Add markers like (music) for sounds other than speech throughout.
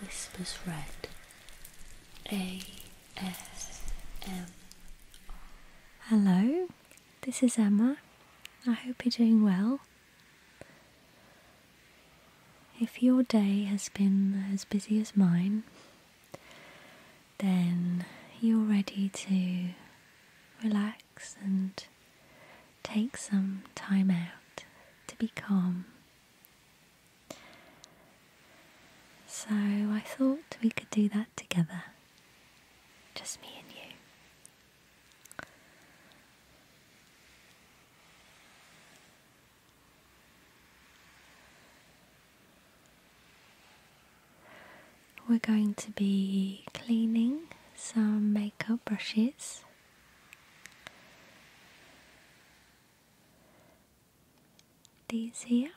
Whispers Red ASM. Hello, this is Emma. I hope you're doing well. If your day has been as busy as mine, then you're ready to relax and take some time out to be calm so I thought we could do that together, just me and you. We're going to be cleaning some makeup brushes these here.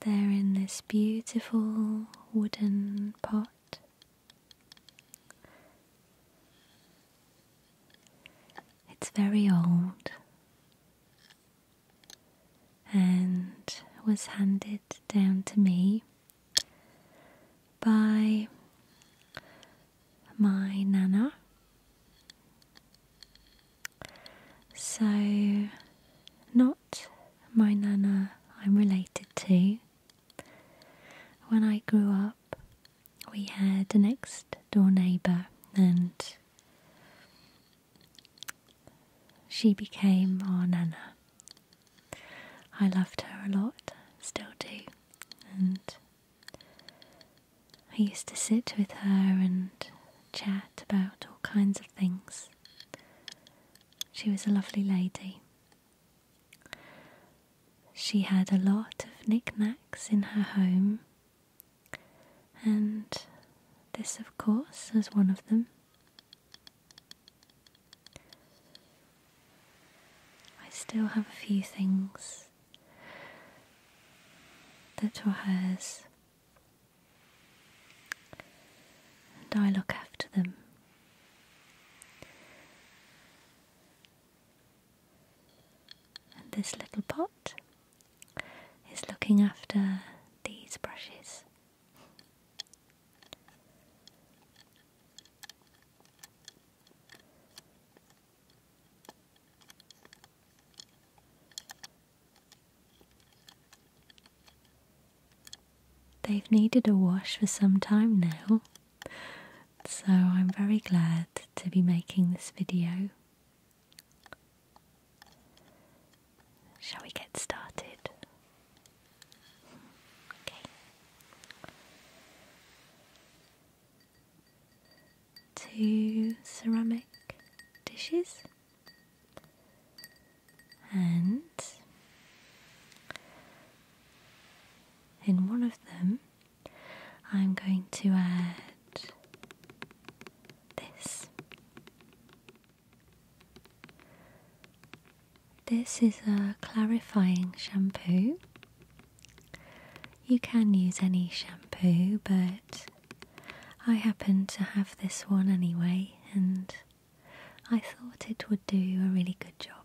They're in this beautiful wooden pot. It's very old and was handed down to me by my nana. So, not my nana I'm related to. When I grew up, we had a next door neighbour, and she became our Nana. I loved her a lot, still do, and I used to sit with her and chat about all kinds of things. She was a lovely lady. She had a lot of knickknacks in her home and this, of course, is one of them. I still have a few things that were hers, and I look after them. And this little pot is looking after these brushes. They've needed a wash for some time now, so I'm very glad to be making this video Shall we get started? Okay. Two ceramic dishes and in one of them I'm going to add this this is a clarifying shampoo. You can use any shampoo, but I happen to have this one anyway, and I thought it would do a really good job.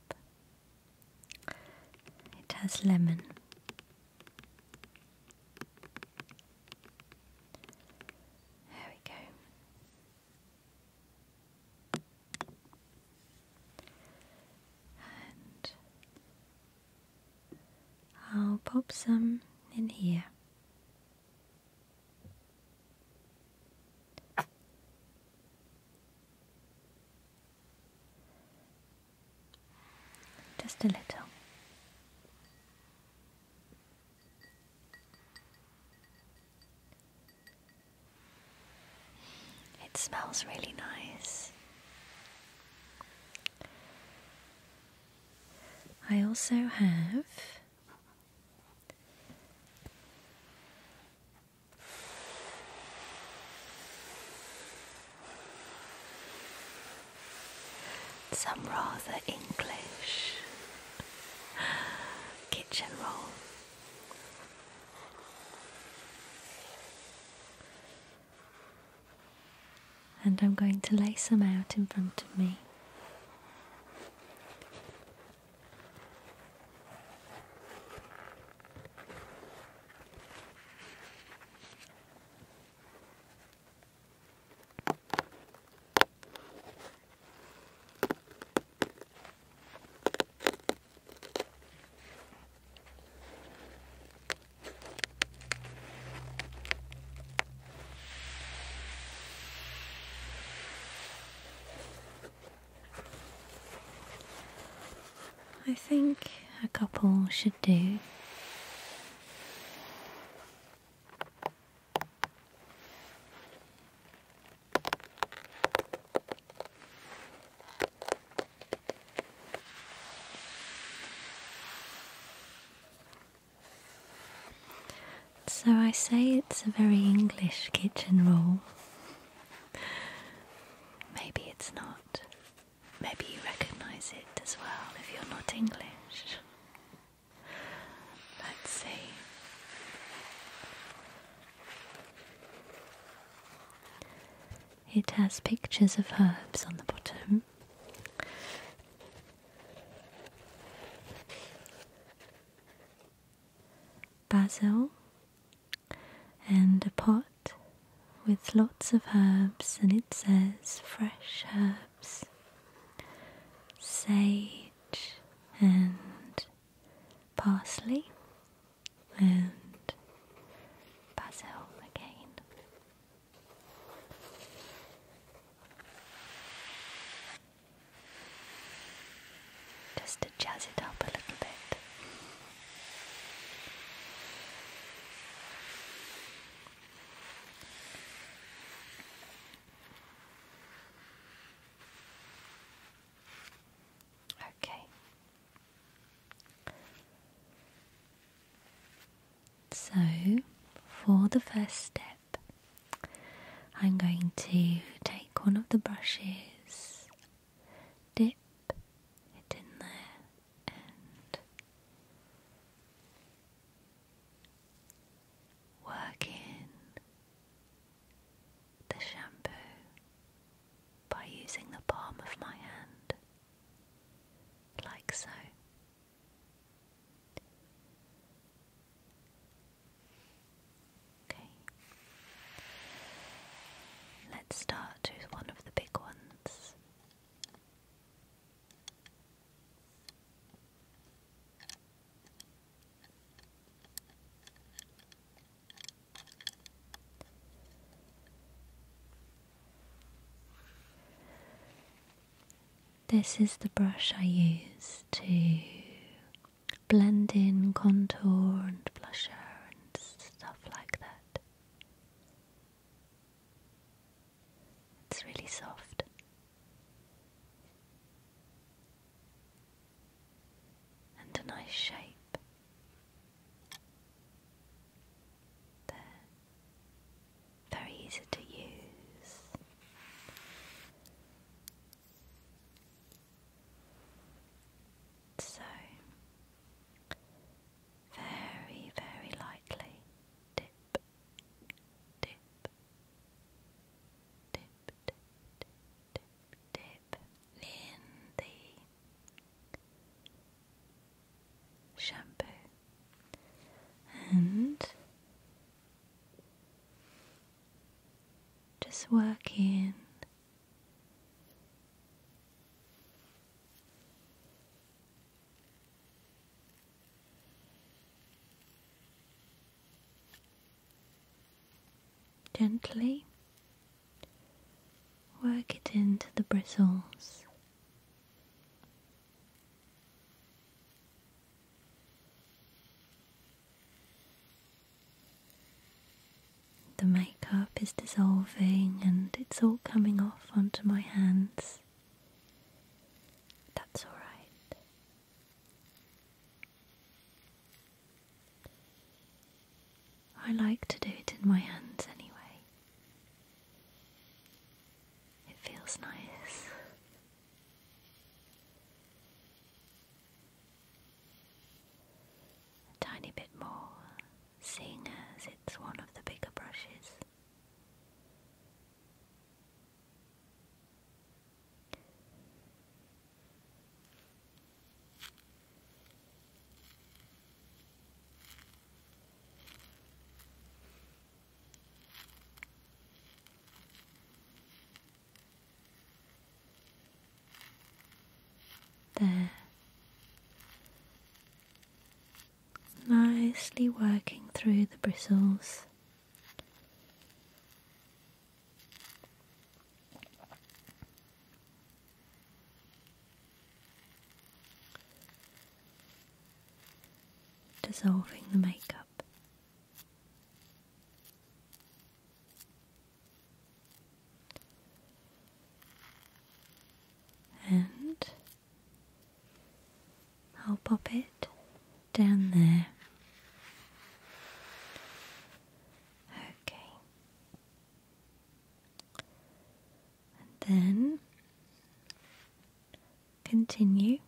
It has lemon. There we go. And I'll pop some in here. Just a little. It smells really nice. I also have some rather English kitchen roll. And I'm going to lay some out in front of me. I think a couple should do. So I say it's a very English kitchen rule. Maybe it's not. Maybe you recognise it as well if you're not English. Let's see. It has pictures of herbs on the bottom. Basil and a pot with lots of herbs, and it says fresh herbs sage and parsley and basil again. Just to jazz it up a little bit. Okay. So, for the first step, I'm going to take one of the brushes, dip it in there, and Work in the shampoo by using the palm of my hand, like so. Okay. Let's start with one of the big ones. This is the brush I use to blend in contour and blusher and stuff like that. It's really soft and a nice shape. There. Very easy to use. So, very, very lightly tip, tip, tip, tip, tip in the shampoo and just work in Gently work it into the bristles. The makeup is dissolving and it's all coming off onto my hands. That's alright. I like to do it in my hands anyway. It feels nice. A tiny bit more, seeing as it's one of the bigger brushes. There. Nicely working through the bristles Dissolving the makeup. And I'll pop it down there. Okay. And then continue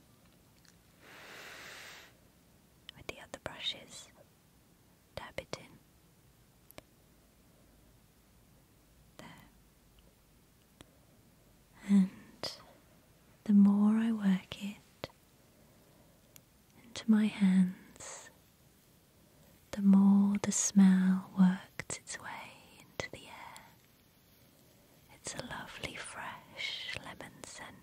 with the other brushes, dab it in. There. And the more I work it, into my hands, the more the smell worked its way into the air. It's a lovely fresh lemon scent.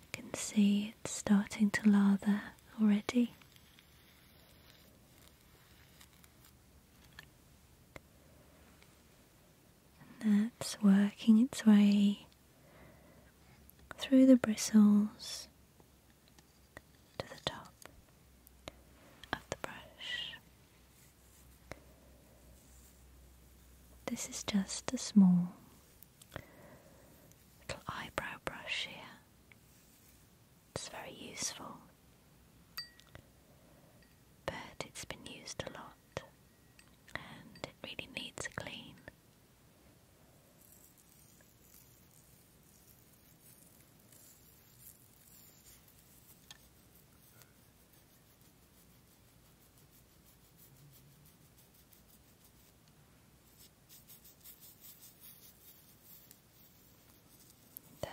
You can see it's starting to lather already. And that's working its way through the bristles to the top of the brush. This is just a small little eyebrow brush here. It's very useful. But it's been used a lot and it really needs a clean. There.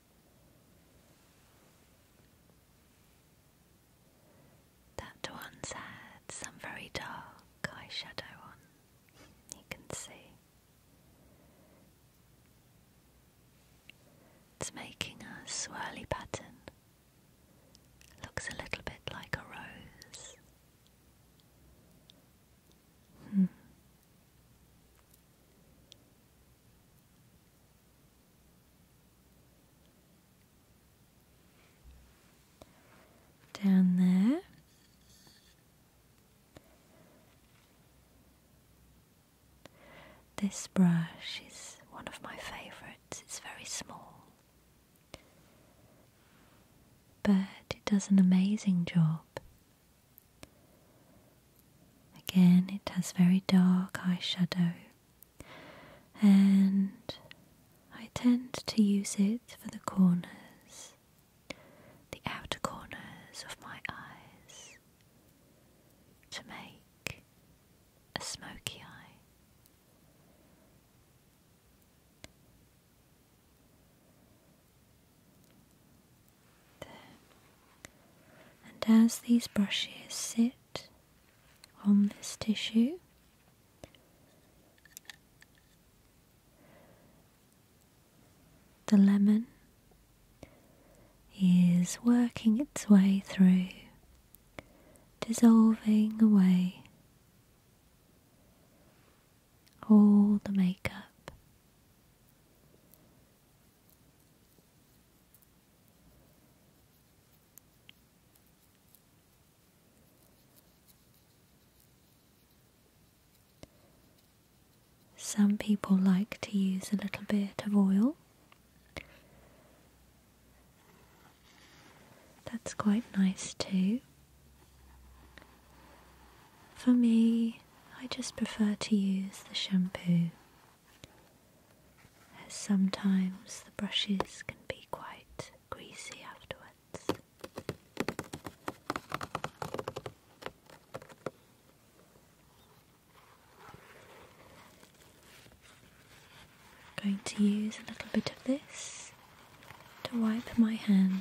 That one's had some very dark eyeshadow on, you can see. It's making a swirly pattern. Looks a little bit like a rose. Hmm. Down there. This brush is one of my favourites. It's very small. But it does an amazing job Again, it has very dark eyeshadow, and I tend to use it for the corners, the outer corners of my eyes, to make a smoky eye. There. And as these brushes sit on this tissue. The lemon is working its way through, dissolving away all the makeup some people like to use a little bit of oil. That's quite nice too. For me, I just prefer to use the shampoo as sometimes the brushes can be quite greasy afterwards. I'm going to use a little bit of this to wipe my hand.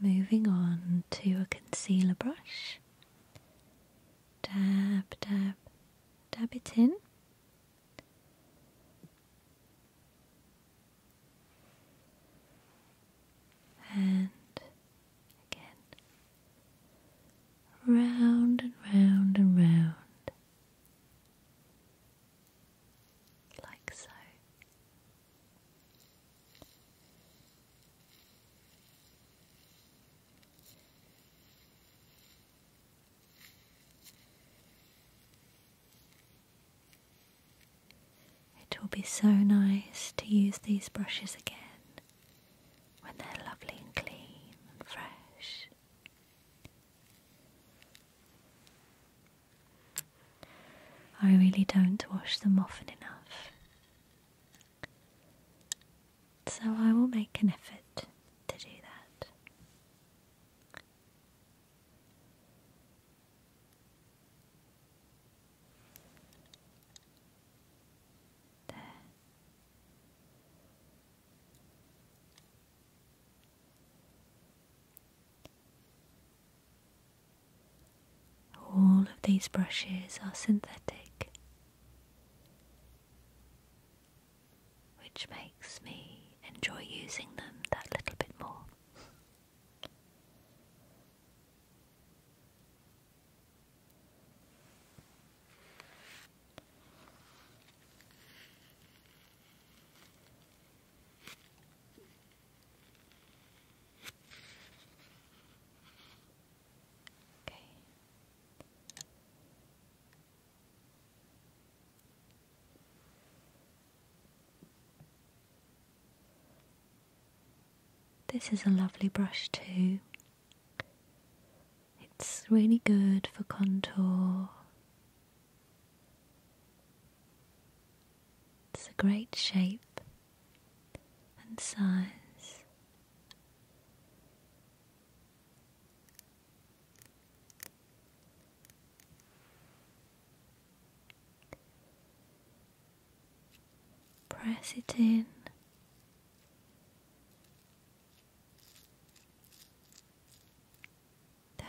Moving on to a concealer brush. Dab, dab, dab it in. And again, round and round and round, like so. It will be so nice to use these brushes again when they're lovely and clean and fresh. I really don't wash them often enough, so I will make an effort to do that. There. All of these brushes are synthetic, which makes me enjoy using them that little bit more. This is a lovely brush too. It's really good for contour. It's a great shape and size. Press it in. There.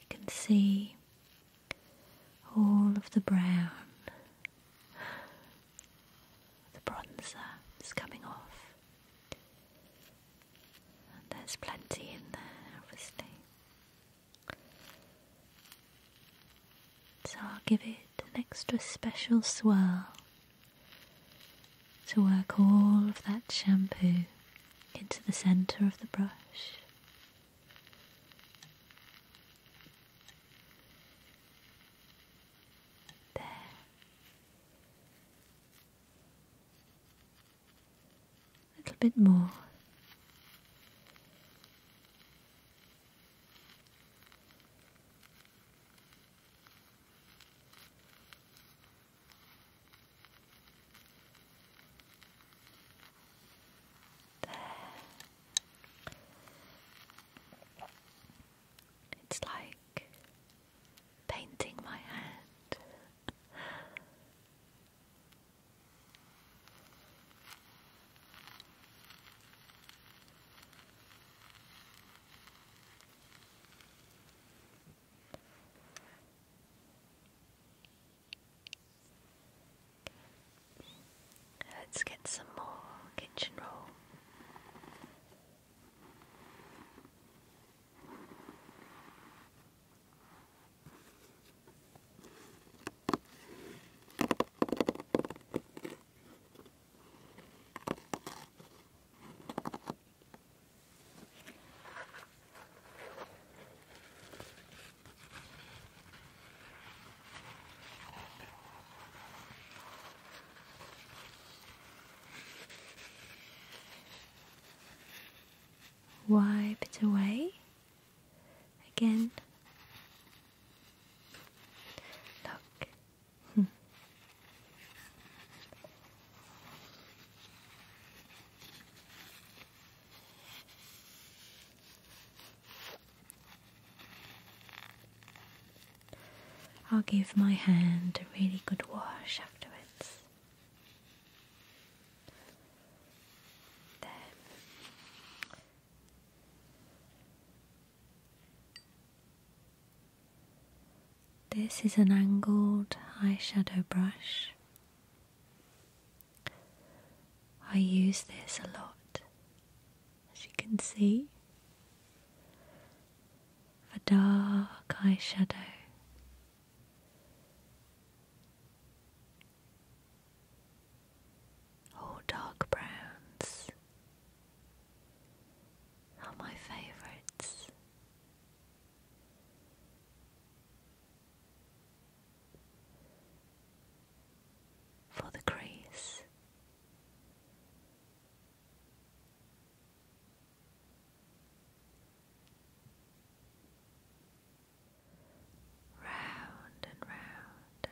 You can see all of the brown, the bronzer is coming off, there's plenty in there, obviously. So I'll give it an extra special swirl to work all of that shampoo into the centre of the brush. There. A little bit more. It's like painting my hand. Let's get some more kitchen roll. Wipe it away again. Look, Hmm. I'll give my hand a really good wash afterwards. There. This is an angled eyeshadow brush. I use this a lot, as you can see, for dark eyeshadow. All dark browns are my favourites for the grace round and round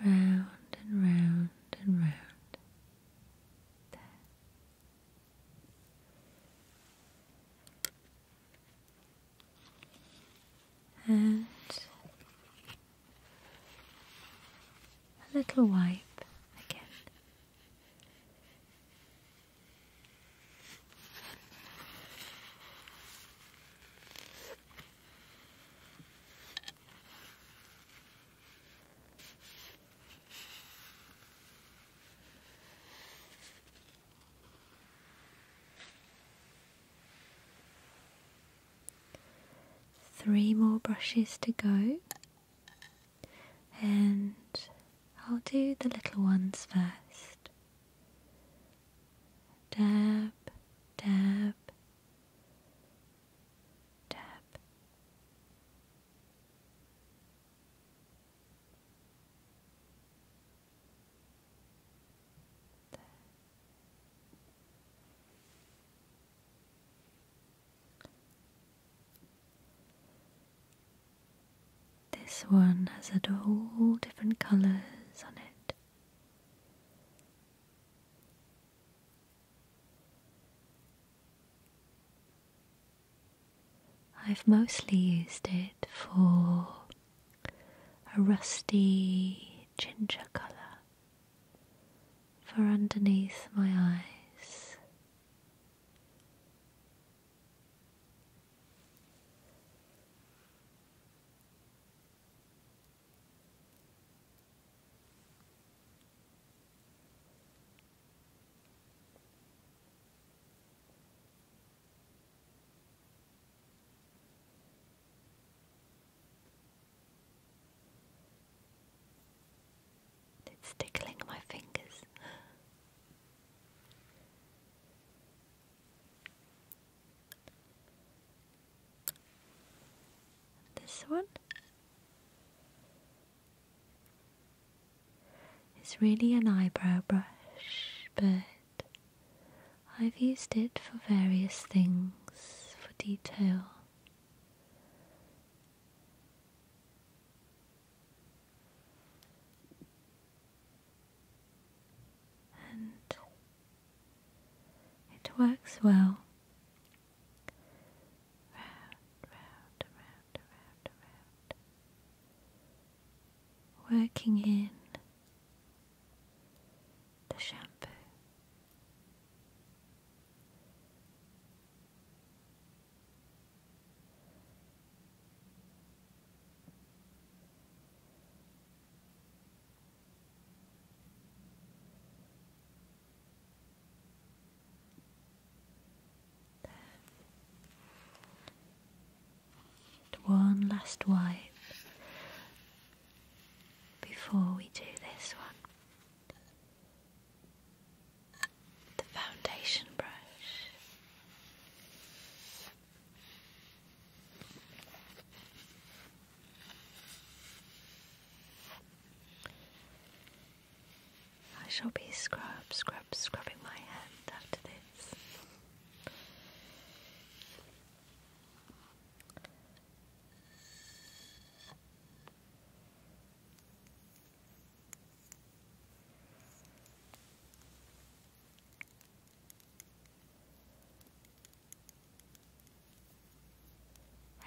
and round round and round and round and a little wipe again. Three more brushes to go, and I'll do the little ones first. Dab, dab, tap This one has a all different colours on it. I've mostly used it for a rusty ginger colour for underneath my eyes. It's tickling my fingers. This one. It's really an eyebrow brush, but I've used it for various things for detail. And it works well round, round, around, around, around. Working in the shampoo one last wipe before we do this one. The foundation brush. I shall be scrub, scrub, scrubbing my head after this.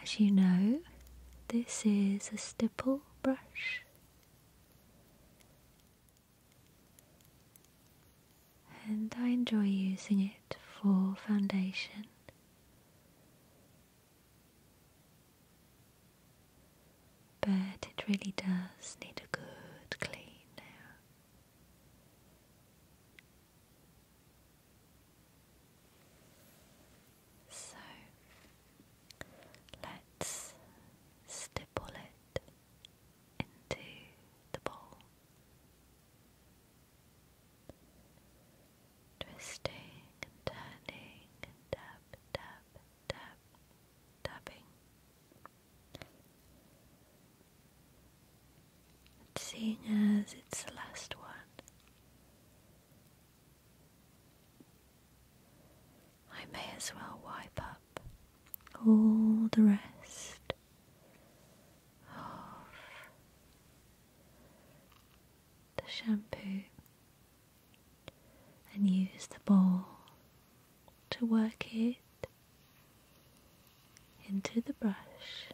As you know, this is a stipple brush. And I enjoy using it for foundation. But it really does need a good clean now. So let's stipple it into the bowl, twisting and turning and tap, tap, tap, tapping. seeing as it's the last one, I may as well wipe up all the rest of the shampoo and use the ball to work it into the brush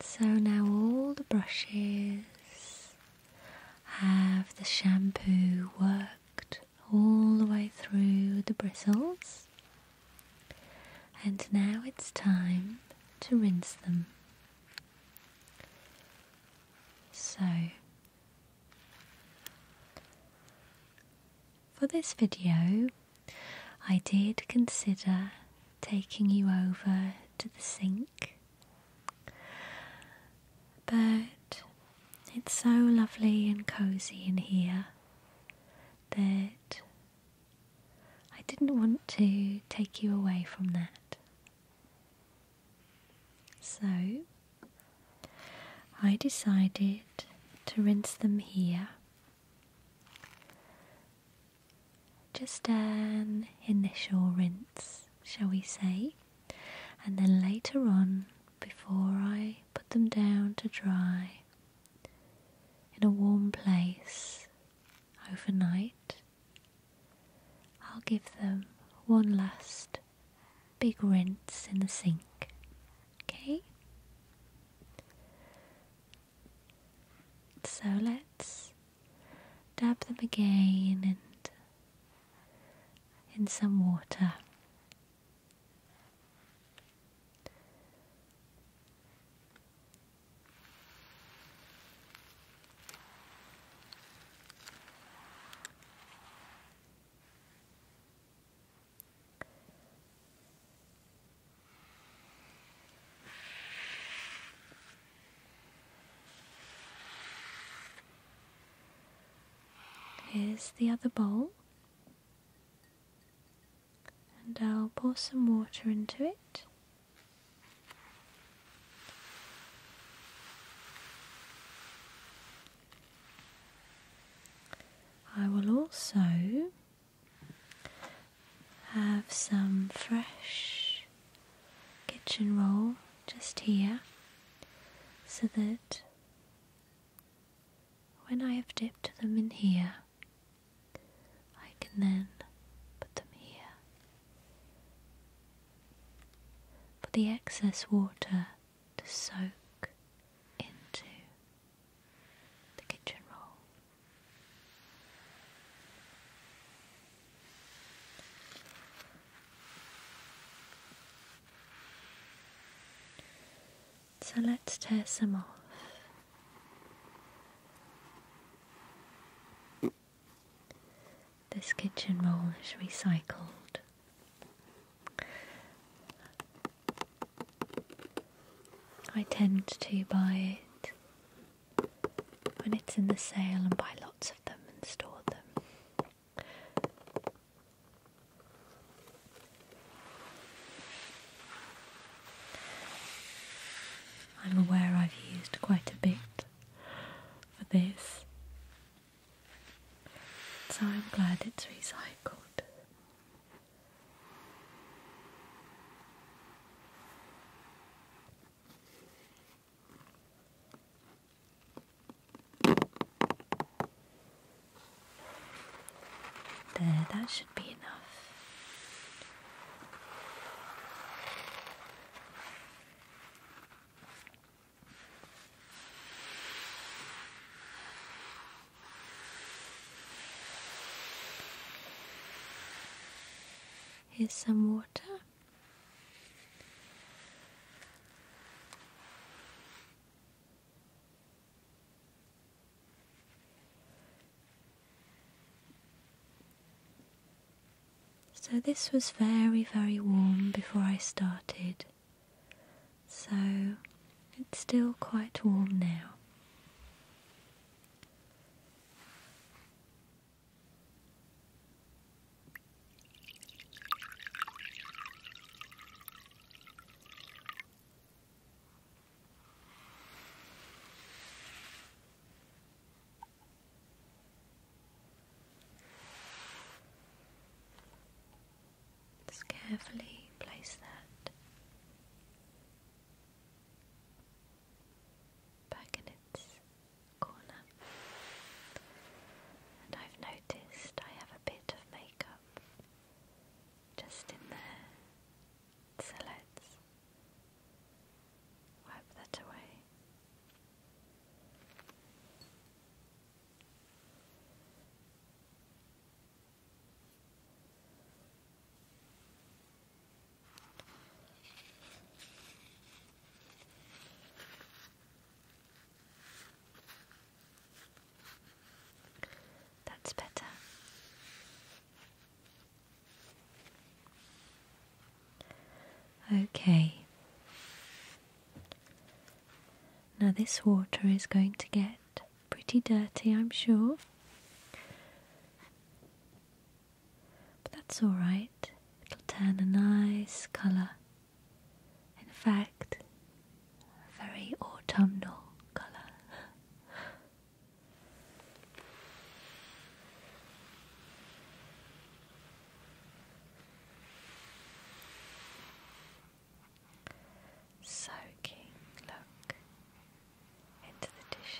so now all the brushes have the shampoo worked all the way through the bristles. And now it's time to rinse them. So for this video, I did consider taking you over to the sink, but it's so lovely and cozy in here that I didn't want to take you away from that. So I decided to rinse them here just an initial rinse, shall we say, and then later on, before I put them down to dry in a warm place overnight, I'll give them one last big rinse in the sink. Okay? So let's dab them again in some water. Here's the other bowl, and I'll pour some water into it. I will also have some fresh kitchen roll just here so that when I have dipped them in here, I can then put them here. For the excess water to soak into the kitchen roll. So let's tear some off. This kitchen roll is recycled. I tend to buy it when it's in the sale and buy lots of them and store them. I'm aware I've used quite a bit for this, so I'm glad it's recycled. There, that should be enough. Here's some water. So, this was very, very warm before I started, so it's still quite warm now. Just carefully place that back in its corner. And I've noticed I have a bit of makeup just in there, so let's wipe that away. That's better. Okay. Now, this water is going to get pretty dirty, I'm sure. But that's alright, it'll turn a nice colour. In fact, a very autumnal colour. (laughs) Soaking look into the tissue.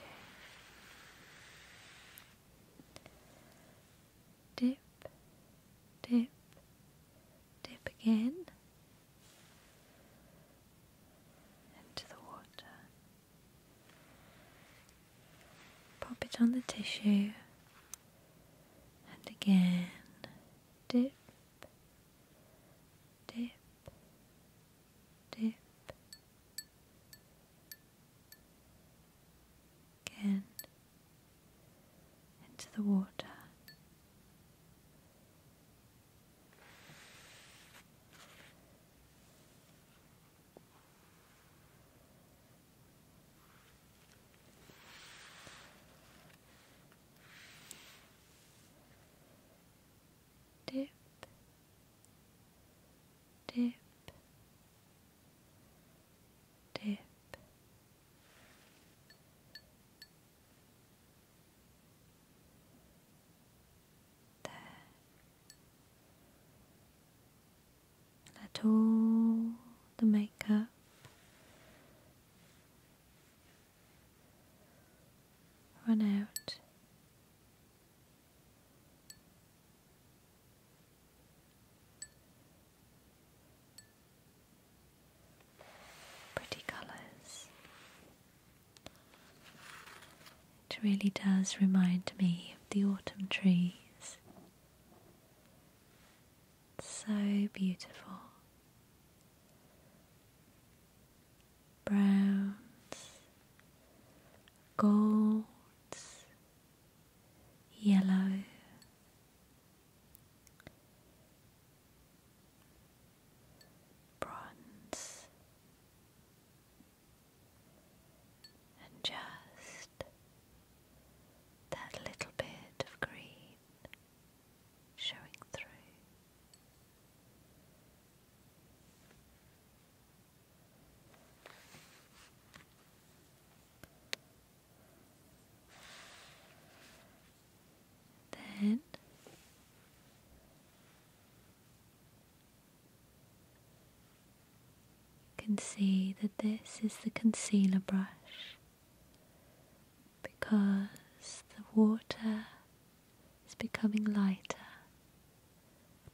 Dip, dip, dip again into the water. Pop it on the tissue and again dip. Dip, dip, Again, into the water dip, dip, dip. There. Let all the makeup run out Pretty colours. It really does remind me of the autumn trees. so beautiful. Browns, Gold, yellow, bronze, and just that little bit of green showing through. Then you can see that this is the concealer brush because the water it's becoming lighter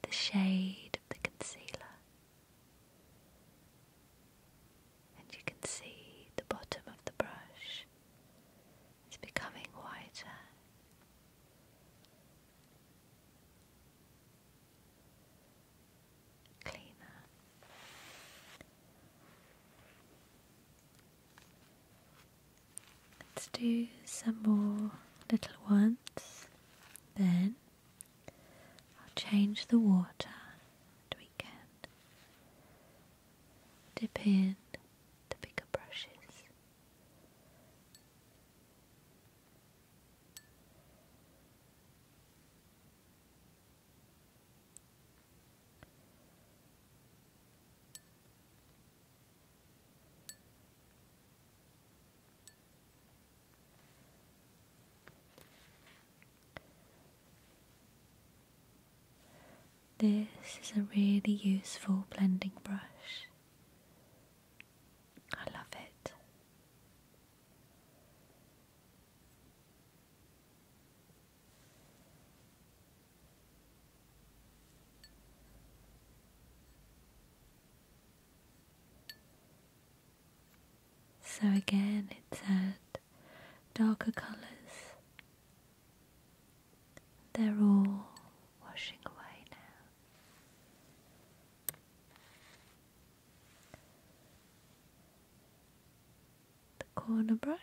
the shade of the concealer, and you can see the bottom of the brush It's becoming whiter. Cleaner. Let's do some more little ones. Then I'll change the water and we can dip in the bigger brushes. This is a really useful blending brush. I love it. So again, it's at darker colours. They're all washing away now. The corner brush.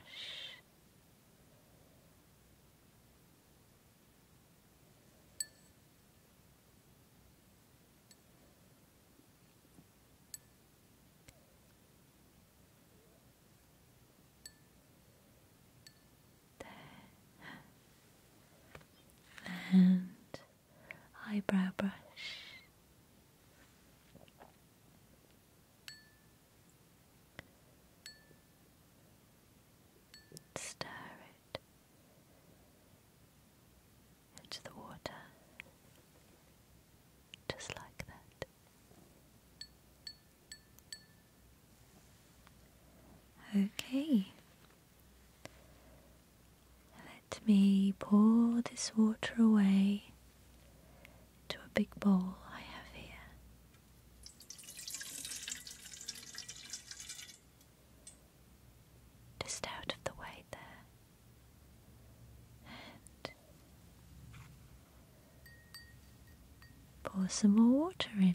And eyebrow brush. Stir it into the water, just like that. Okay, let me pour this water away to a big bowl I have here. Just out of the way there. And pour some more water in.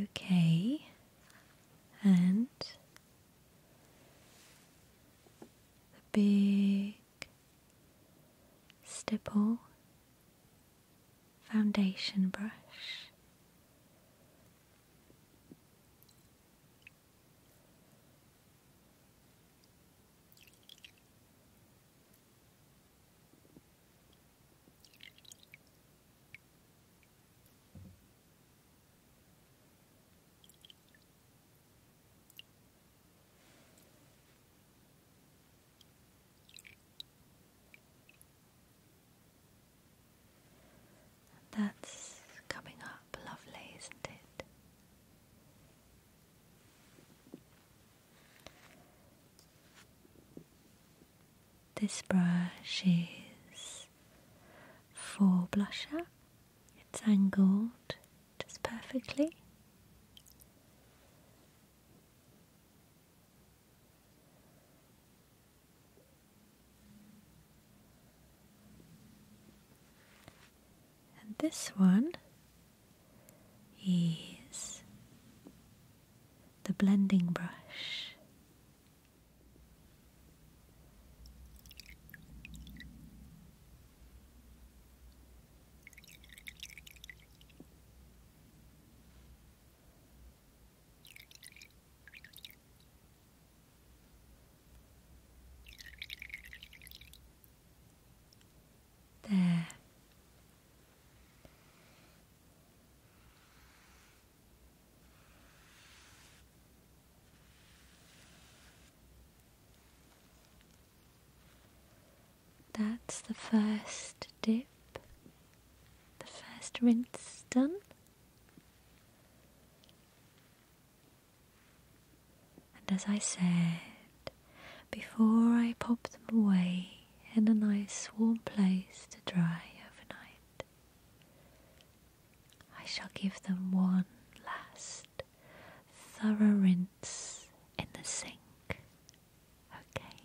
Okay, and the big stipple foundation brush. That's coming up lovely, isn't it? This brush is for blusher. It's angled just perfectly. And this one is the blending brush there. That's the first dip, the first rinse done and as I said before, I pop them away in a nice warm place to dry overnight. I shall give them one last thorough rinse in the sink. Okay.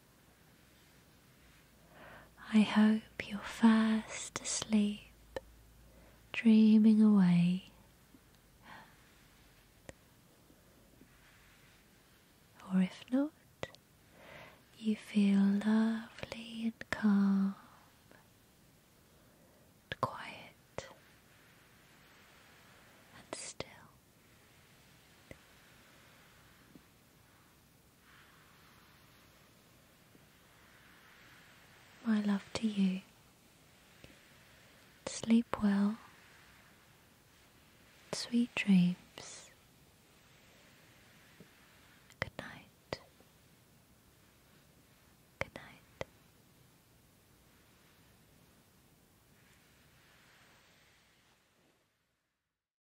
I hope you're fast asleep, dreaming away. Or if not, you feel lovely and calm and quiet and still. My love to you. Sleep well. Sweet dreams. Good night. Good night.